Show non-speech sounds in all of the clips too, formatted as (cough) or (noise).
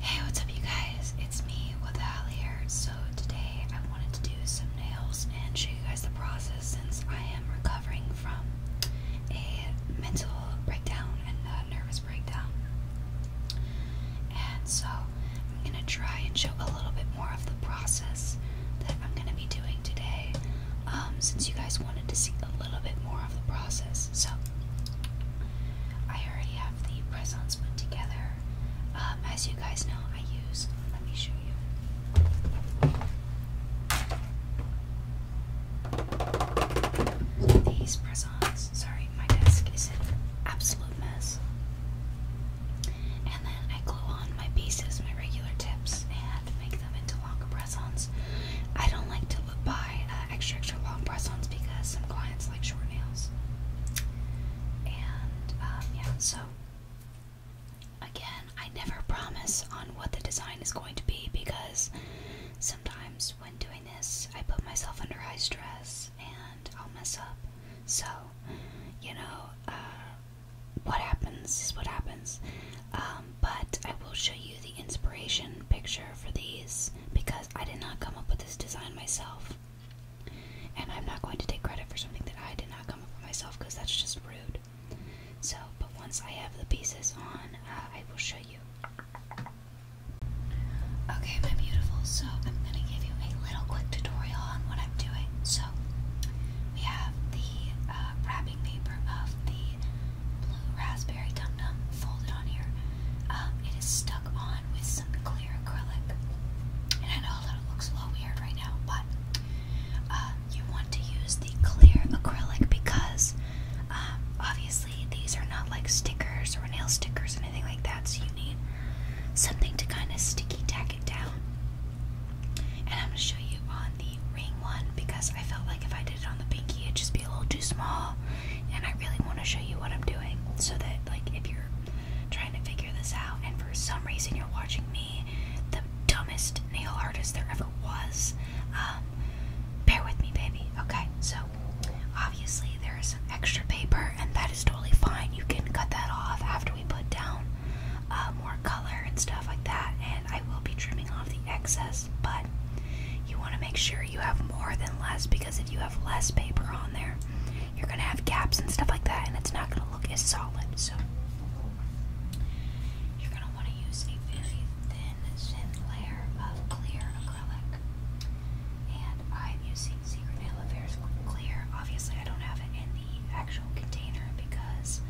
Hey, what's up, you guys? It's me, with Withal here. So, today I wanted to do some nails and show you guys the process since I am recovering from a mental breakdown and a nervous breakdown. And so, I'm going to try and show a little bit more of the process that I'm going to be doing today um, since you guys wanted to see a little bit more of the process. So, I already have the press-ons put together. Um, as you guys know, I use. Let me show you. These press-ons. Sorry, my desk is an absolute mess. And then I glue on my pieces, my regular tips, and make them into longer press I don't like to look buy extra extra long press-ons because some clients like short nails. And um, yeah, so again, I never promise on what the design is going to be because sometimes when doing this, I put myself under high stress and I'll mess up. So, you know, uh, what happens is what happens. Um, but I will show you the inspiration picture for these because I did not come up with this design myself. And I'm not going to take credit for something that I did not come up with myself because that's just rude. So, but once I have the pieces on, uh, I will show you. Okay, my beautiful, so I'm going to give you a little quick tutorial on what I'm doing. So, we have the uh, wrapping paper of the blue raspberry dum dum folded on here. Um, it is stuck on with some clear acrylic, and I know that it looks a little weird right now, but uh, you want to use the clear acrylic because um, obviously these are not like stickers or nail stickers or anything like that, so you need something to kind of sticky tack it down. And I'm gonna show you on the ring one because I felt like if I did it on the pinky, it just be a little too small and I really want to show you what I'm doing so that like if you're trying to figure this out and for some reason you're watching me the dumbest nail artist there ever was um bear with me baby okay so obviously there is extra paper and that is totally fine you can cut that off after we put down uh, more color and stuff like that and I will be trimming off the excess less, but you want to make sure you have more than less because if you have less paper on there, you're going to have gaps and stuff like that, and it's not going to look as solid. So, you're going to want to use a very thin, thin layer of clear acrylic. And I'm using Secret Nail Affairs Clear. Obviously, I don't have it in the actual container because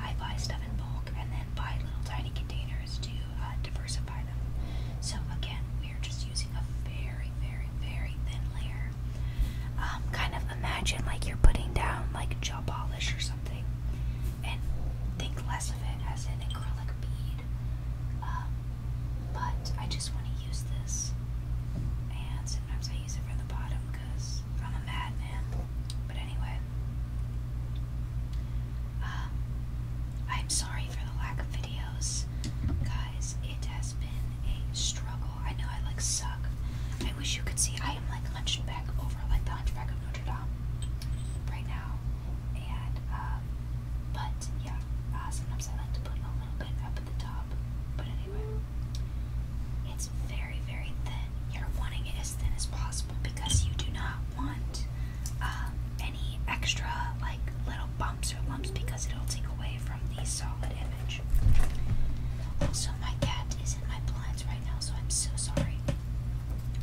I buy stuff in bulk and then buy little tiny containers to uh, diversify so again, we are just using a very, very, very thin layer. Um, kind of imagine like you're putting down like gel polish or something, and think less of it as an acrylic bead. Um, but I just want to use this, and sometimes I use it for the bottom because I'm a madman. But anyway, um, I'm sorry for the lack of videos. Guys, it has been a struggle. I know I like suck. I wish you could see I am like hunching over like the hunchback of Notre Dame right now. And um, but yeah, uh, sometimes I like to put a little bit up at the top. But anyway. It's very, very thin. You're wanting it as thin as possible because you do not want um, any extra like little bumps or lumps because it'll take away from the solid image. Also, my cat is in my blinds right now, so I'm so sorry.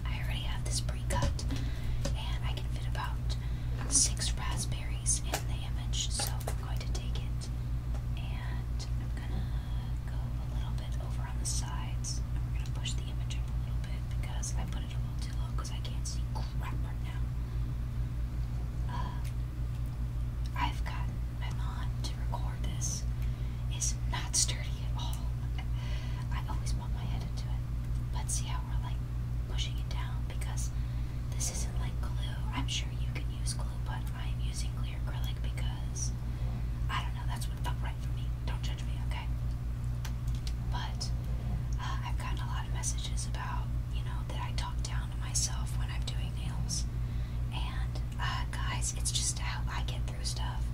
I already have this pre-cut, and I can fit about six raspberries in the image, so I'm going to take it, and I'm gonna go a little bit over on the sides, and we're gonna push the image up a little bit because I put it a able to because I can't see crap right now. Uh, I've got my mom to record this. It's not sturdy at all. I always bump my head into it. But see how we're like pushing it down because this isn't like glue. I'm sure you can use glue, but I'm using clear acrylic because I don't know. That's what felt right for me. Don't judge me, okay? But uh, I've gotten a lot of messages about, you know, that I talk down to myself when I'm doing nails. And uh, guys, it's just how I get through stuff.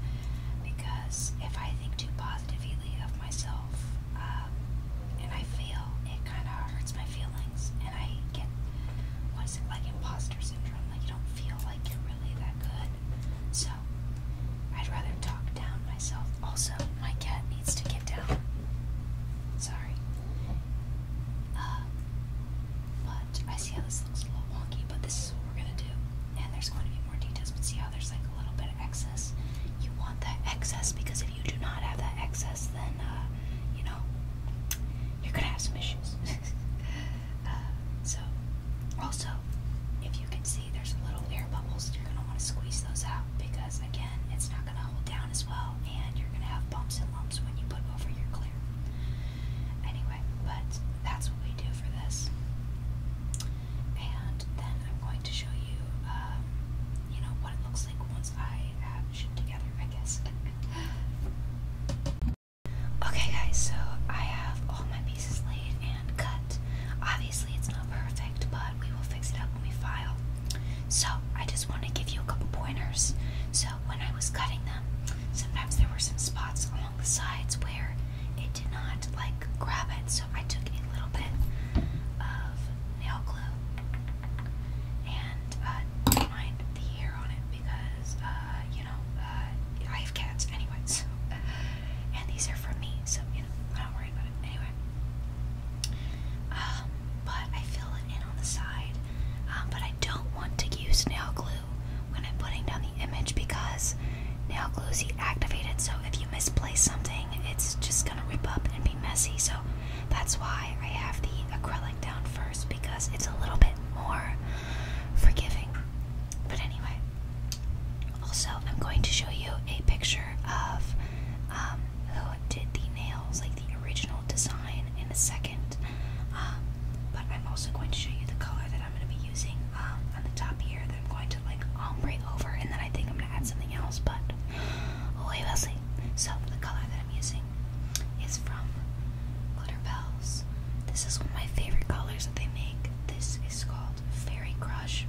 Because if I think too positively of myself um, and I fail, it kind of hurts my feelings. And I get, what is it, like imposter syndrome? Like you don't feel like you're really that good. So I'd rather talk down myself. Also, my cat needs to get down. Sorry. Uh, but I see how this looks a little wonky, but this is what we're gonna do. And there's going to be more details, but see how there's like a little bit of excess. You want that excess because if you do not have that excess, then, uh, you know, you're gonna have some issues. (laughs) Uh, so, also, if you can see, there's little air bubbles. You're gonna want to squeeze those out because again, it's not gonna hold down as well, and you're gonna have bumps and lumps when you put over your clear. Anyway, but that's what we do for this. And then I'm going to show you, um, you know, what it looks like once I have shit together, I guess. (laughs) okay, guys, so I have all my pieces laid and cut. Obviously, it's not perfect, but we will fix it up when we file. So, I just want to give you a couple pointers. So, when I was cutting them, sometimes there were some spots along the sides where it did not like grab it, so I took a little bit of nail glue and uh, mind the hair on it because, uh, you know, uh, I have cats anyways. so and these are for me, so you know I don't worry about it anyway. Um, but I fill it in on the side, um, but I don't want to use nail glue when I'm putting down the image because nail glue is activated. So if you misplace something, it's just gonna rip up and be messy. So that's why I have the acrylic down first because it's a little bit more forgiving. But anyway, also, I'm going to show you a picture of um, who did the nails, like the original design, in a second. Um, but I'm also going to show you the color that I'm going to be using um, on the top here that I'm going to like ombre over, and then I think I'm going to add something else. But we will see. So the color that I'm using is from Glitter Bells. This is one of my favorite colors that they make. This is called Fairy Crush.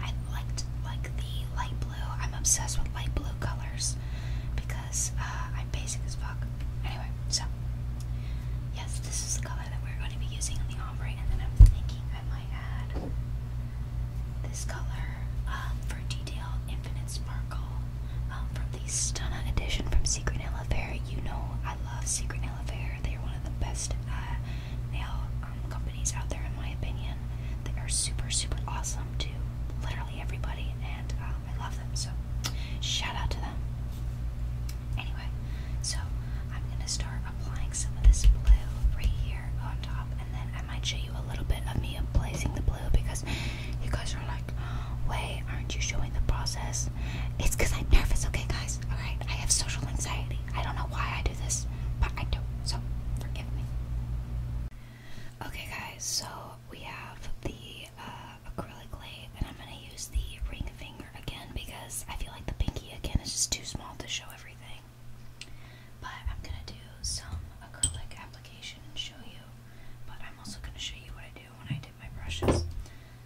I liked like the light blue. I'm obsessed with light blue colors because uh, I'm basic as fuck. Anyway, so yes, this is the color that we're going to be using in the ombre, and then I'm thinking I might add this color um, for detail, infinite sparkle um, from the Stunna edition from Secret Nail Affair. You know I love Secret Nail Affair. They are one of the best uh, nail companies out there, in my opinion, they are super, super awesome to literally everybody, and um, I love them. So, shout out to them. Anyway, so I'm gonna start applying some of this blue right here on top, and then I might show you a little bit of me applying the blue because you guys are like, "Wait, aren't you showing the process?" It's because I'm nervous. Okay, guys. All right, I have social anxiety. I don't know why I do do this, but I do so forgive me. Okay, guys, so we have the uh, acrylic lay, and I'm gonna use the ring finger again because I feel like the pinky again is just too small to show everything. But I'm gonna do some acrylic application and show you. But I'm also gonna show you what I do when I dip my brushes.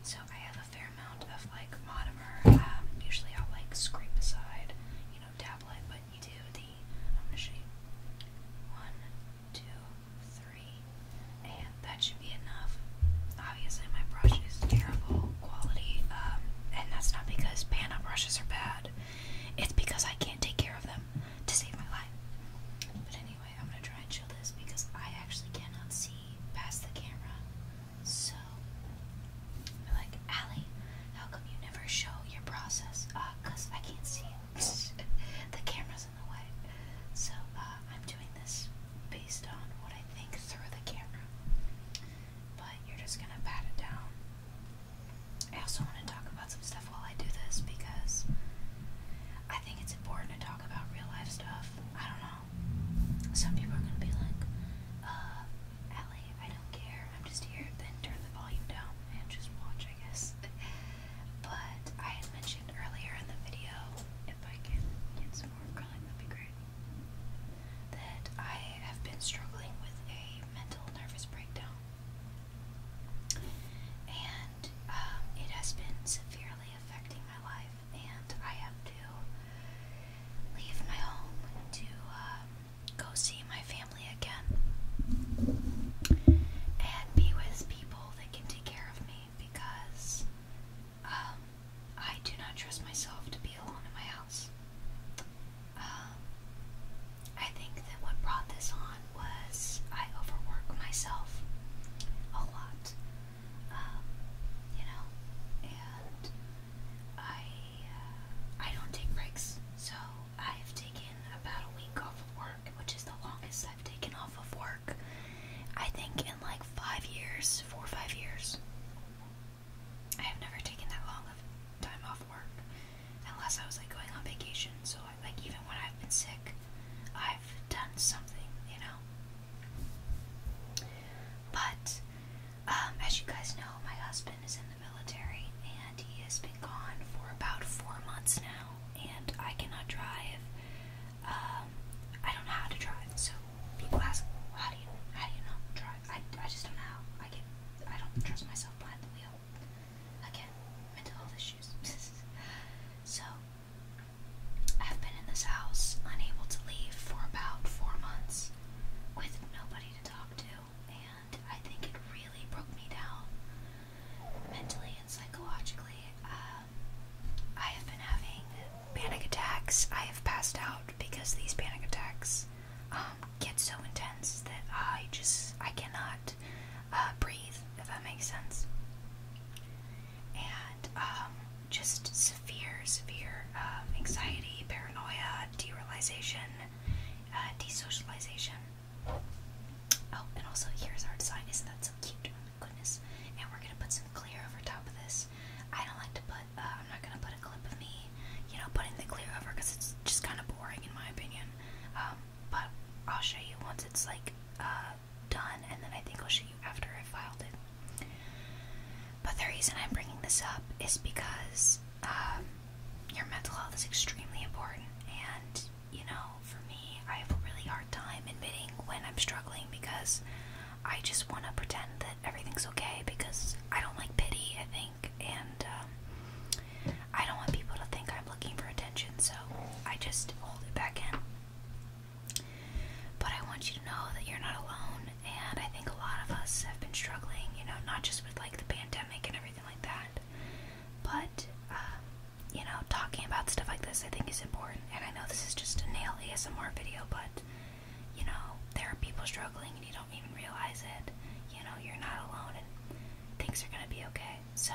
So I have a fair amount of like monomer. Um, usually i like scrape aside, you know, tablet, but you do the I'm gonna show you one, two, three, and that should be enough. Obviously my brush is terrible quality, um, and that's not because Panda brushes are bad. It's because I can't take care of them to save my life. But anyway, I'm gonna try and show this because I actually cannot see past the camera. So, like, Allie, how come you never show your process? Uh, cause I can't see it. (laughs) the camera's in the way. So, uh, I'm doing this based on what I think through the camera. But you're just gonna pat it down. I also want to talk about some stuff while I do this because I think it's important to talk about real life stuff. I don't know. Some people are gonna be like, uh, Ellie, I don't care. I'm just here. Then turn the volume down and just watch, I guess. (laughs) but I had mentioned earlier in the video, if I can get some more acrylic, that'd be great, that I have been struggling with a mental nervous breakdown. And um, it has been severely affecting my life, and I have to leave my home to uh, go see my family again and be with people that can take care of me because um, I do not trust myself to be alone in my house. Um, I think that what brought this on was I overwork myself a lot, um, you know, and I I don't take breaks, so I've taken about a week off of work, which is the longest I've taken off of work. I think in like five years, four or five years. I have never taken that long of time off work, unless I was like going on vacation. So like even when I've been sick, I've done something, you know. But um, as you guys know, my husband is in the military and he has been gone for about four months now, and I cannot drive. Um, I don't know how to drive, so people ask, "How do you, how do you know drive?" I, I just don't know. How. I get, I don't trust myself behind the wheel. Again, mental health issues. (laughs) so. I've been in this house, unable to leave for about four months, with nobody to talk to, and I think it really broke me down mentally and psychologically. Um, I have been having panic attacks. I have passed out because these panic attacks um, get so intense that I just I cannot uh, breathe. If that makes sense. And um, just severe, severe um, anxiety, paranoia, derealization, uh, desocialization. Oh, and also here's our design. Isn't that so cute? Oh my goodness. And we're gonna put some clear over top of this. I don't like to put, uh, I'm not gonna put a clip of me, you know, putting the clear over because it's just kind of boring in my opinion. Um, but I'll show you once it's like uh, done, and then I think I'll show you after I filed it. But the reason I'm bringing this up is because um, your mental health is extremely important. And, you know, for me, I have a really hard time admitting when I'm struggling because I just want to pretend that everything's okay because I don't like pity, I think. And um, I don't want people to think I'm looking for attention, so I just hold it back in. But I want you to know that you're not alone and I think a lot of us have been struggling, you know, not just with like the pandemic and everything like that, but um, you know, talking about stuff like this I think is important. And I know this is just a nail ASMR video, but you know, there are people struggling and you don't even realize it. You know, you're not alone and things are gonna be okay. So,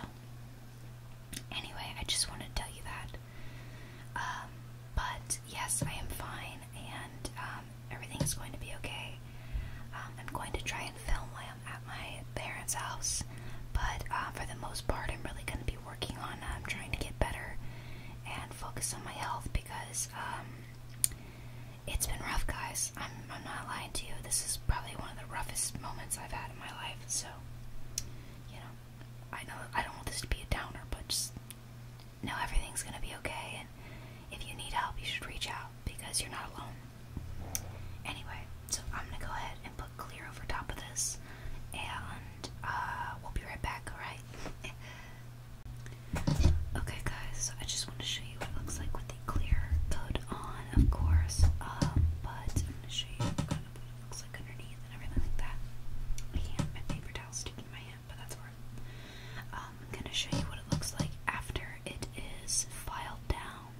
anyway, I just wanted to tell you that. Um, but yes, I am fine and um, everything is going to be okay. Um, I'm going to try and film while I'm at my parents' house, but uh, for the most part, I'm really going to be working on um, trying to get better and focus on my health because it's been rough, guys. I'm, I'm not lying to you. This is probably one of the roughest moments I've had in my life, so you know, I know I don't want this to be a downer, but just know everything's going to be okay, and if you need help, you should reach out because you're not alone. Anyway, so I'm going to go ahead and put clear over top of this, and uh, we'll be right back, alright? (laughs) Okay, guys, I just want to show you what it looks like with the clear coat on, of course. Um, but I'm going to show you what it looks like underneath and everything like that. I can my paper towel sticking in my hand but that's where I'm um, gonna show you what it looks like after it is filed down.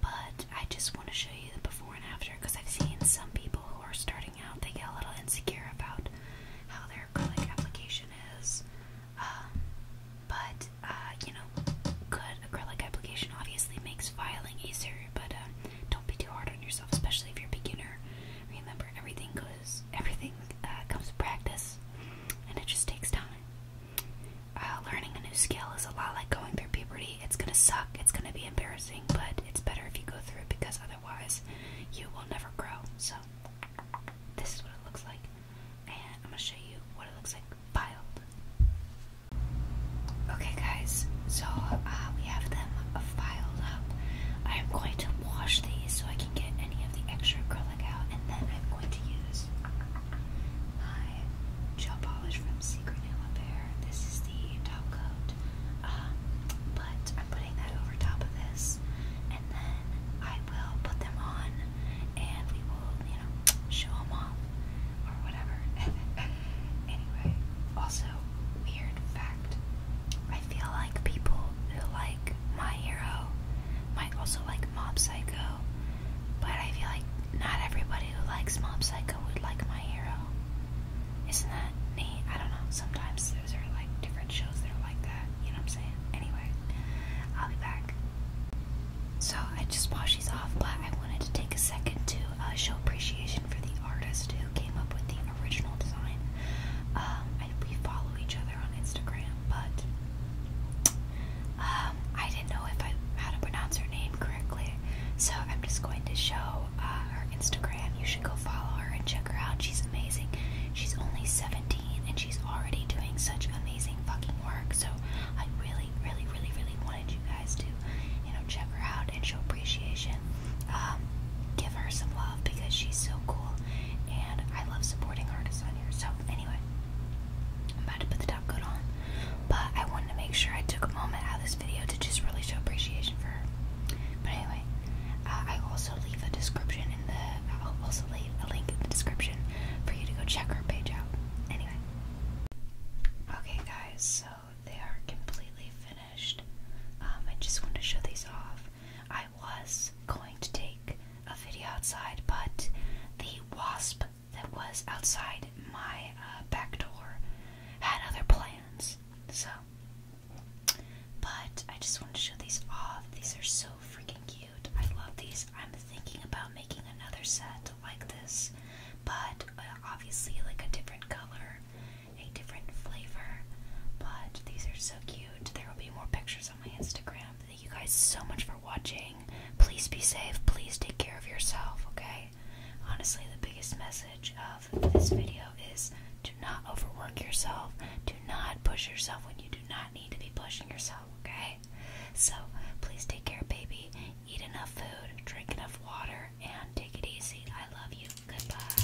But I just want to show you the before and after because I've seen some people who are starting out, they get a little insecure about how their acrylic application is. Um, but, uh, you know, good acrylic application obviously makes filing easier, but um, don't be too hard on yourself, especially if you're a beginner. Remember, everything goes because everything uh, comes with practice and it just takes time. Uh, learning a new skill is a lot like going through puberty. It's gonna suck, it's gonna be embarrassing, but it's better if you go through it because otherwise you will never grow. So, this is what it looks like, and I'm gonna show you what it looks like filed. Okay, guys, so uh, we have them filed up. I am going to wash these so I can get any the extra acrylic out, and then I'm going to use my gel polish from Secret Nail Bear. This is the top coat, um, but I'm putting that over top of this, and then I will put them on, and we will, you know, show them off or whatever. (laughs) anyway, also weird fact: I feel like people who like my Hero might also like Mob Psycho, but I feel like not everybody who likes Mob Psycho would like My Hero. Isn't that neat? I don't know. Sometimes those are like different shows that are like that. You know what I'm saying? Anyway, I'll be back. So I just washed these off, but I wanted to take a second to uh, show appreciation for the artist who came up with the original design. Um, we follow each other on Instagram, but um, I didn't know if I how to pronounce her name correctly, so I'm just going to show uh, her Instagram. You should go follow her and check her out. She's amazing. She's only 17 and she's already doing such amazing fucking work. So I really, really, really, really wanted you guys to, you know, check her out and show appreciation. Um, give her some love because she's so cool and I love supporting artists on here. So, anyway, I'm about to put the top coat on, but I wanted to make sure I took a moment out of this video to just really show appreciation for her. But anyway, uh, I also leave a description in the, I'll also leave a link in the description for you to go check her page out. Anyway. Okay, guys, so they are completely finished. Um, I just wanted to show these off. I was going to take a video outside, but the wasp that was outside my uh, back door had other plans. So, but I just wanted to show these off. These are so freaking cute. I love these. I'm thinking about making another set like this, but uh, obviously, like a different color, a different flavor. But these are so cute. There will be more pictures my Instagram. Thank you guys so much for watching. Please be safe. Please take care of yourself, okay? Honestly, the biggest message of this video is do not overwork yourself. Do not push yourself when you do not need to be pushing yourself, okay? So, please take care, baby. Eat enough food, drink enough water, and take it easy. I love you. Goodbye.